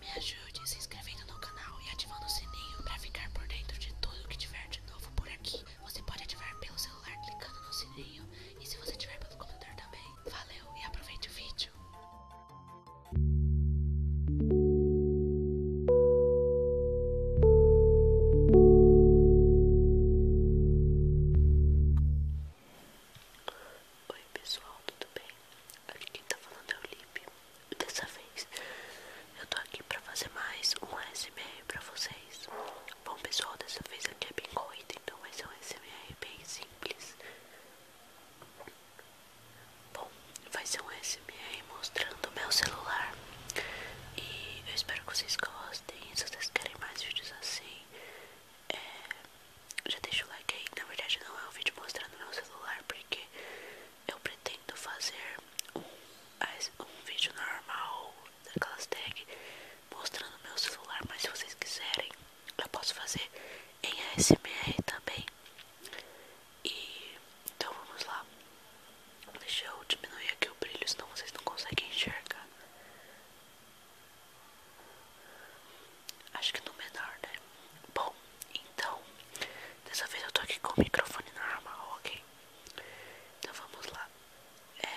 Me ajude se inscrevendo no canal e ativando o sininho para ficar por dentro de tudo que tiver de novo por aqui. Você pode ativar pelo celular clicando no sininho e se você tiver pelo computador também. Valeu e aproveite o vídeo. Oi pessoal, tudo bem? Aqui quem tá falando é o Lipe. Dessa vez eu tô aqui pra fazer mais um SMR pra vocês. Bom pessoal, dessa vez aqui é bem corrida, então vai ser um SMR bem simples. Bom, vai ser um SMR mostrando o meu celular. E eu espero que vocês gostem. Se vocês querem mais vídeos assim, é, já deixa o like aí. Na verdade, não é um vídeo mostrando meu celular, porque eu pretendo fazer um, um vídeo normal daquelas tag mostrando meu celular. Mas se vocês quiserem, eu posso fazer em ASMR também. E então vamos lá. Deixa eu diminuir aqui o brilho, senão vocês não conseguem enxergar. Acho que no menor, né? Bom, então, dessa vez eu tô aqui com o microfone normal, ok? Então vamos lá. É,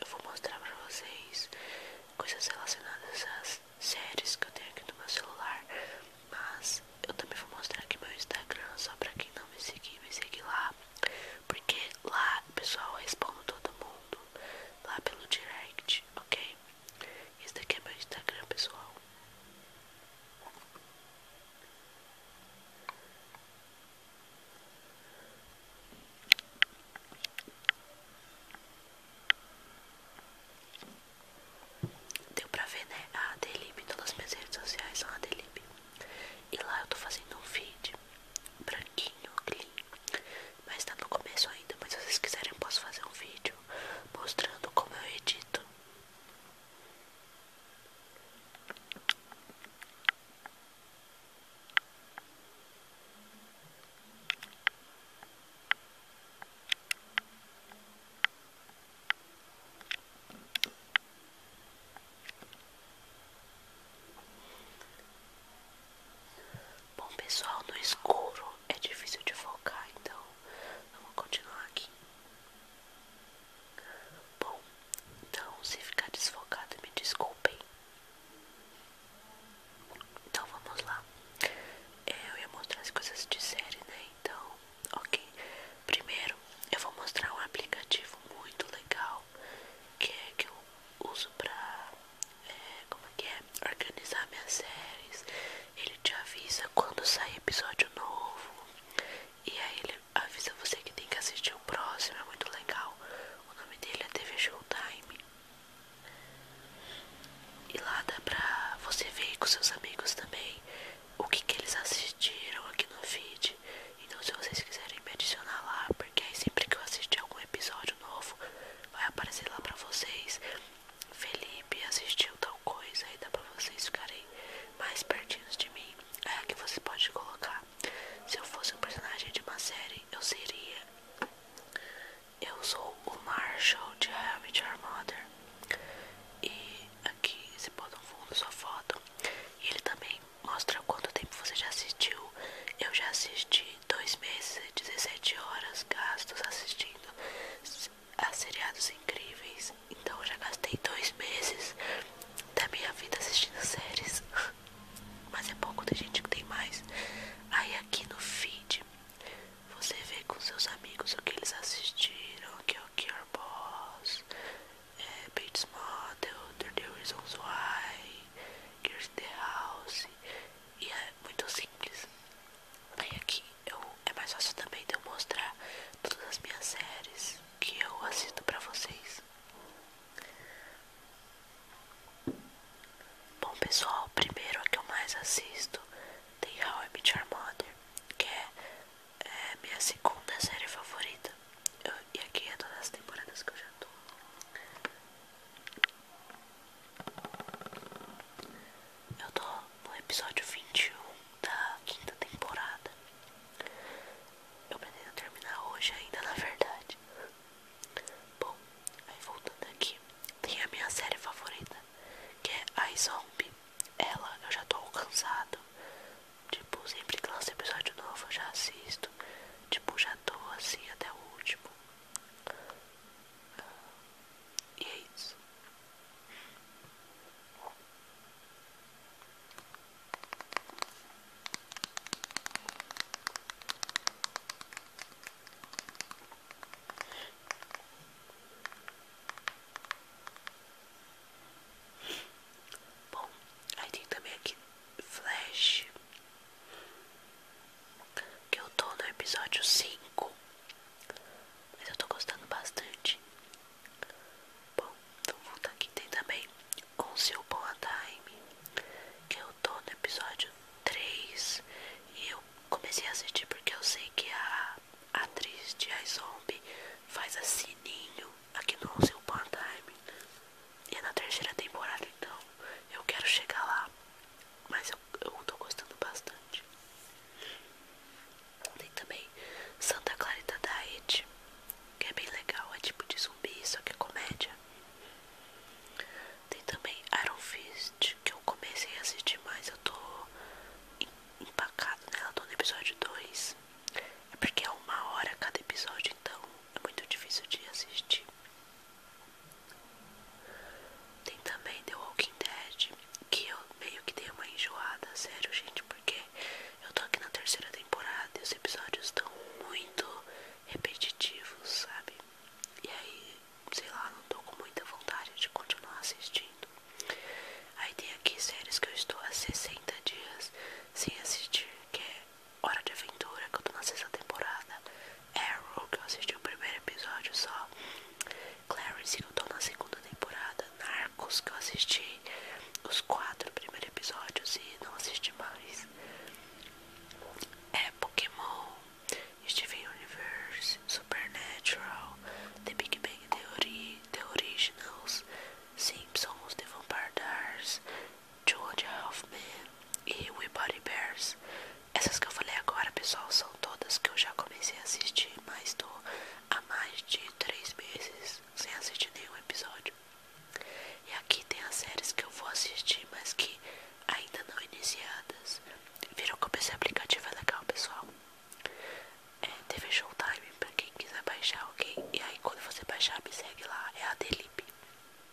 eu vou mostrar pra vocês coisas relacionadas às séries que eu tenho aqui no meu celular. Mas eu também vou mostrar aqui meu Instagram, só pra quem não me seguir, me seguir lá. Porque lá, pessoal, eu respondo todo mundo. Lá pelo direct, ok? Esse daqui é meu Instagram, pessoal. Deu pra ver, né? A Adelib, todas as minhas redes sociais são a Adelib. E lá eu tô fazendo um vídeo branquinho, lindo. Mas tá no começo ainda, mas se vocês quiserem eu posso fazer um vídeo mostrando como eu edito. Bom pessoal, no escuro é difícil de focar, então vamos continuar aqui. Bom, então se ficar desfocado me desculpem. Então vamos lá. É, eu ia mostrar as coisas de série, né? Então, ok. Primeiro eu vou mostrar um aplicativo muito legal que é que eu uso pra como é que é, organizar minhas séries. Ele te avisa quando sai episódio novo. E aí ele avisa você que tem que assistir o próximo, é muito legal. O nome dele é TV Showtime. E lá dá pra você ver com seus amigos também o que, que eles assistiram aqui no feed. Então se vocês quiserem me adicionar lá, porque aí sempre que eu assistir algum episódio novo, vai aparecer lá pra vocês. Felipe assistiu tal coisa aí dá pra vocês ficarem mais pertinhos de mim. É que você pode colocar. Se eu fosse um personagem de uma série, eu seria. Eu sou o Marshall de How I Met Your Mother. E aqui você pode no fundo sua foto. E ele também mostra quanto tempo você já assistiu. Eu já assisti em dois meses e 17 horas gastos assistindo a seriados incríveis. Então já gastei dois meses da minha vida assistindo séries. Mas é pouco, da gente que tem mais. Aí aqui no feed você vê com seus amigos o que eles assistiram, que é o Gear Boss, é, Bates Model, The Reasons Why, Gears the House. E é, muito simples. Aí aqui eu, é mais fácil também de eu mostrar todas as minhas séries que eu assisto pra vocês. Bom pessoal, primeiro a que eu mais assisto tem How I Met Charmander que é, é minha segunda série favorita. e aqui é todas as temporadas que eu já tô. Eu tô no episódio 21 da quinta temporada. Eu pretendo terminar hoje ainda, na verdade. Bom, aí voltando aqui, tem a minha série favorita, que é a Zombie. Ela eu já tô cansado. Tipo, sempre que lança episódio novo eu já assisto. Tipo, já tô assim até o último. E é isso. Bom, aí tem também aqui Flash que eu tô no episódio 5, mas eu tô gostando bastante. Bom, então vamos voltar aqui. Tem também Once Upon a Time, que eu tô no episódio 3 e eu comecei a assistir porque eu sei que a atriz de iZombie faz a Sininho aqui no Once Upon Time. E é na terceira temporada, então eu quero chegar lá. Mas eu, eu tô gostando bastante. Tem também Santa Clarita Diet, que é bem legal, é tipo de zumbi, só que é comédia. Tem também Iron Fist, que eu comecei a assistir, mas eu tô empacado nela, né? tô no episódio 2. É porque é uma hora cada episódio, então é muito difícil de assistir. Tem também The Walking Dead, que eu meio que dei uma enjoada, sério, gente, porque eu tô aqui na terceira temporada e os episódios estão muito repetitivos, sabe? E aí, sei lá, não tô com muita vontade de continuar assistindo. Aí tem aqui séries que eu estou há 60 dias sem assistir, que é Hora de Aventura, que eu tô na sexta temporada. Arrow, que eu assisti o primeiro episódio só. Clarence, que eu tô na segunda temporada. Narcos, que eu assisti os quatro primeiros episódios e não assisti mais. É Pokémon, Steven Universe, Supernatural, The Big Bang Theory, The Originals, Simpsons, The Vampire Diaries, Georgia Hoffman e We Weebody Bears. Essas que eu falei agora, pessoal, são todas que eu já comecei a assistir, mas tô há mais de três meses sem assistir nenhum episódio. E aqui tem as séries que eu vou assistir, mas que ainda não iniciadas. Viram como esse aplicativo é legal, pessoal? É TV Showtime, pra quem quiser baixar, ok? E aí quando você baixar, me segue lá, é a Delip.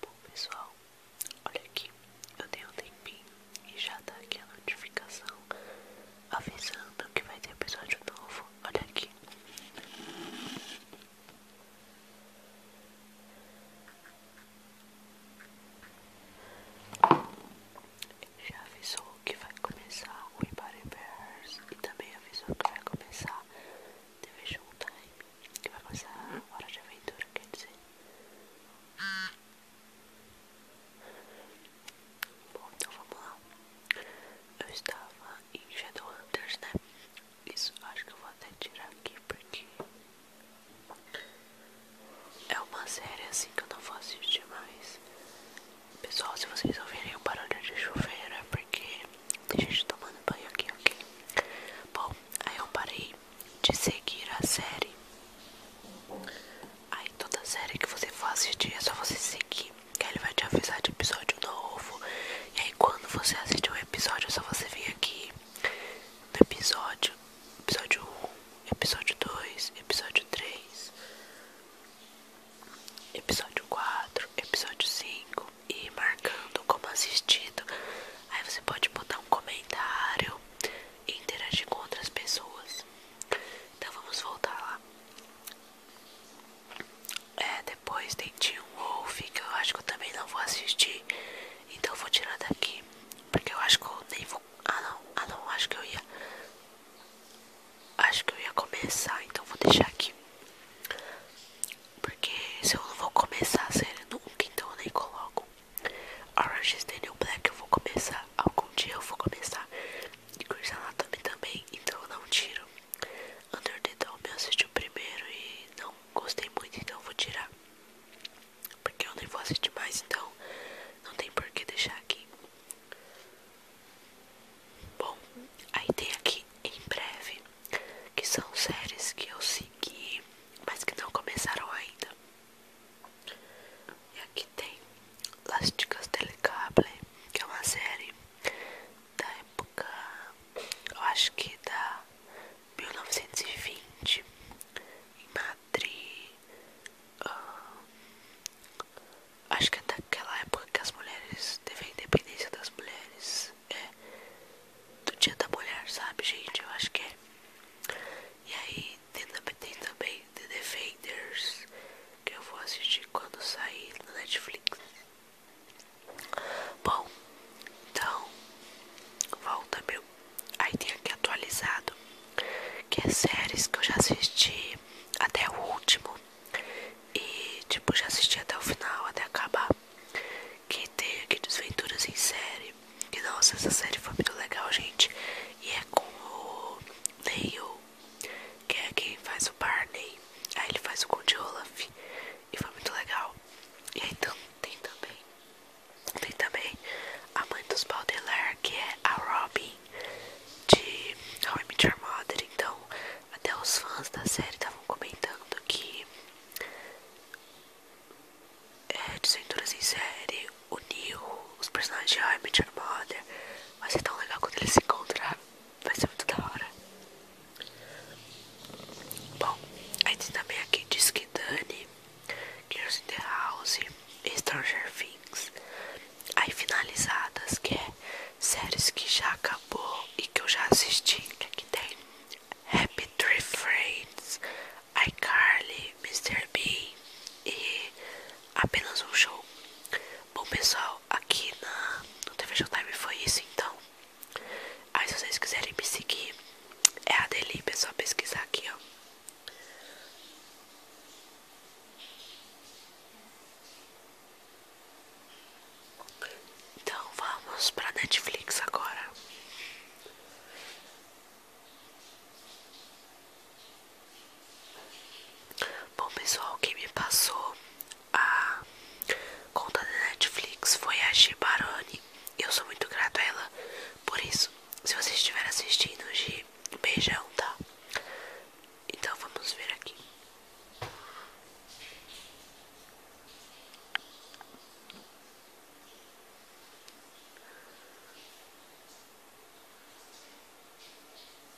Bom pessoal, olha aqui, eu dei um tempinho e já tá aqui a notificação avisando que vai ter episódio novo. Olha aqui. Já avisou que vai começar o Embody Bears e também avisou que vai começar TV Showtime, que vai começar Hora de Aventura, quer dizer. Bom, então vamos lá. Eu estava em Shadowhunters, né? Isso acho que eu vou até tirar aqui porque é uma série assim que eu não vou assistir mais. Pessoal, se vocês ouvirem o barulho de chuveiro é porque tem gente tomando banho aqui, ok? Bom, aí eu parei de seguir a série. Aí toda série que você for assistir é só você seguir que ele vai te avisar de episódio novo. E aí quando você assistir um episódio, é só você vir aqui no episódio, episódio 1, episódio 2, episódio 3, episódio 4, episódio 5 e marcando como assistido. Aí você pode botar um comentário e interagir com outras pessoas. Então vamos voltar lá. É, depois tem Teen Wolf, que eu acho que eu também não vou assistir. Então vou tirar daqui. Porque eu acho que eu nem vou. Ah não, ah não, acho que eu ia. Acho que eu ia começar, então vou deixar aqui. Porque se eu não vou começar a série nunca, então eu nem coloco. Orange is the New Black eu vou começar. Algum dia eu vou começar. E Grey's Anatomy também, então eu não tiro. Underdome eu assisti o primeiro e não gostei muito, então vou tirar. Porque eu nem vou assistir mais, então não tem por que deixar aqui. Bom, aí tem aqui em breve, que são séries que eu segui, mas que não começaram ainda. E aqui tem Las Chicas Cable, que é uma série da época, eu acho que da 1920, em Madrid. Ah, acho que é daquela época que as mulheres teve a independência das mulheres. É do dia da mulher, sabe, gente? Eu acho que é. E aí tem, tem também The Defenders, que eu vou assistir quando sair no Netflix. Bom, então volta meu. Aí tem aqui atualizado. Que é séries que eu já assisti até o último. E tipo, já assisti até o final, até acabar. Que tem aqui desventuras em série. Que nossa, essa série foi muito legal, gente. E é com o Neil que é quem faz o Barney. Aí ele faz o Conde Olaf. E foi muito legal. E aí então, tem também. Tem também a mãe dos Baudelaire, que é a Robin de How I Mother. Então, até os fãs da série estavam comentando que é, de Cinturas em Série, o Neil, os personagens de How I Mother. Vai ser tão legal quando eles se encontraram. Vai ser muito da hora. Bom, aí tem também aqui Disque Dani, Girls in the House, Stranger Things. Aí finalizadas, que é séries que já acabou e que eu já assisti. Que aqui tem Happy Tree Friends, iCarly, Mr. B e apenas um show. Bom pessoal, aqui na, no TV Showtime foi isso então. Aí se vocês quiserem me seguir, é a Deli pessoal é pesquisar aqui, ó. Então vamos pra Netflix agora. Bom pessoal, quem me passou a conta da Netflix foi a Gi Baroni. Eu sou muito grato a ela por isso. Se você estiver assistindo, Gi, beijão, tá? Então vamos ver aqui.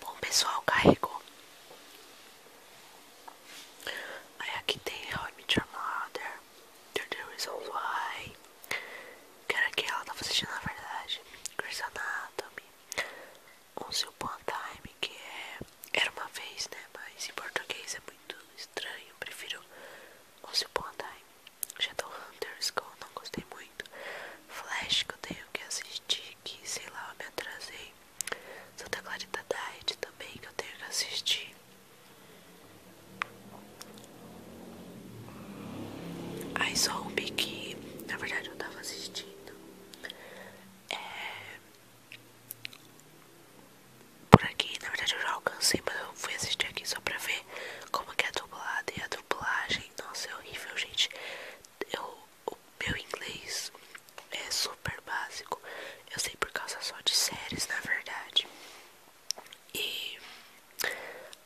Bom, pessoal, carregou. Aí aqui tem How I Met Your Mother, The Reasons Why, que era que ela tava tá assistindo na verdade, Grey's Anatomy, o Upon a Time, que é Era Uma Vez, né, mas em português é muito estranho, prefiro o Upon a Time, já Shadowhunters, que eu não gostei muito, Flash, que eu tenho que assistir, que sei lá, eu me atrasei, Santa Clarita Diet também, que eu tenho que assistir. Aí só um que, na verdade, eu tava assistindo. É... Por aqui, na verdade, eu já alcancei, mas eu fui assistir aqui só pra ver como é a dublada E a dublagem, nossa, é horrível, gente. Eu, o meu inglês é super básico. Eu sei por causa só de séries, na verdade. E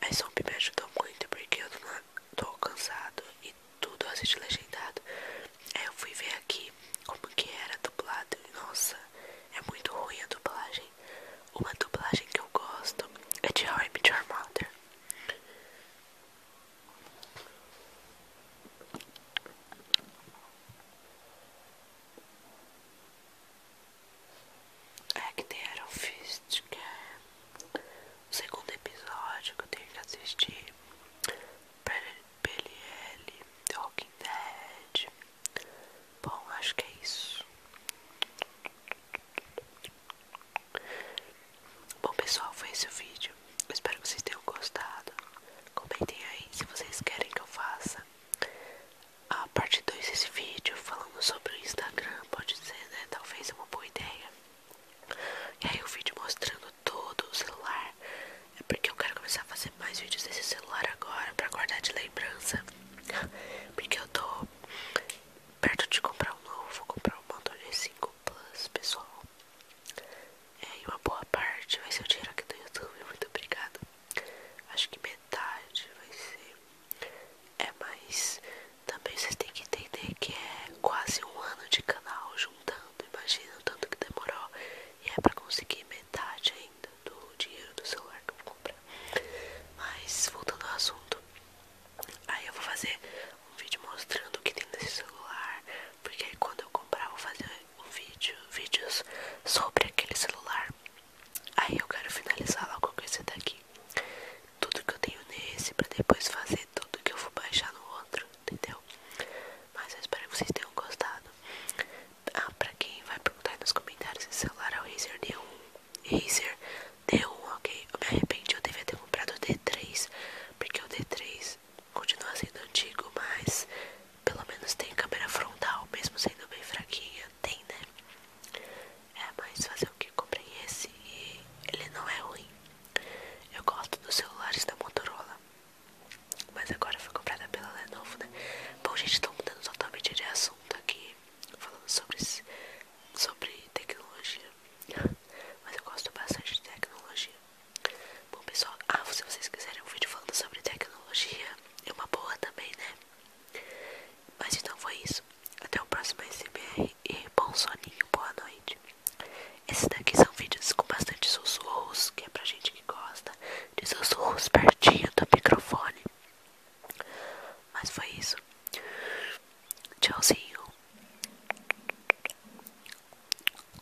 a Soap me ajudou muito porque eu tô, tô cansado e tudo assisti legendado. Aí eu fui ver aqui como que era dublado. Nossa, é muito ruim a dublagem. Uma dublagem que eu gosto é de How I Met é que tem Iron é o segundo episódio que eu tenho que assistir. PLL, The Walking Dead. Bom, acho que é isso. Bom, pessoal, foi esse o vídeo espero que vocês tenham gostado. Comentem aí se vocês querem que eu faça a parte 2 desse vídeo falando sobre o Instagram, pode ser, né? Talvez é uma boa ideia. E aí o vídeo mostrando todo o celular. É porque eu quero começar a fazer mais vídeos desse celular agora pra guardar de lembrança. Porque eu tô perto de comprar um novo, vou comprar o um Moto G5 Plus, pessoal. É, e uma boa parte vai ser o dinheiro aqui do YouTube. Muito obrigada. Acho que metade vai ser. É, mas também vocês têm que entender que é quase um ano de canal juntando. Imagina o tanto que demorou. E é pra conseguir metade ainda do dinheiro do celular que eu vou comprar. Mas voltando ao assunto. Aí eu vou fazer um vídeo mostrando o que tem nesse celular. Porque aí quando eu comprar, eu vou fazer vídeos sobre aquele celular. Aí eu quero finalizar logo com esse daqui. Tudo que eu tenho nesse pra depois fazer tudo que eu vou baixar no outro, entendeu? Mas eu espero que vocês tenham gostado. Ah, pra quem vai perguntar aí nos comentários, esse celular é o Razer D1. Razer D1, ok? Eu me arrependi, eu devia ter comprado o D3, porque o D3 continua sendo antigo, mas pelo menos tem câmera frontal, mesmo sendo bem fraquinha, tem, né? É, mas fazer o que? Comprei esse e ele não é ruim. Eu gosto dos celulares da Motorola, mas agora foi comprada pela Lenovo, né? Bom, gente, tô mudando totalmente de assunto aqui, falando sobre, sobre tecnologia, mas eu gosto bastante de tecnologia. Bom pessoal, ah, se vocês quiserem um vídeo falando sobre tecnologia, é uma boa também, né? Mas então foi isso. Até o próximo SMR e bom soninho, boa noite. Esses daqui são vídeos com bastante sussurros, que é pra gente que gosta de sussurros pertinho do microfone. Mas foi isso. Tchauzinho.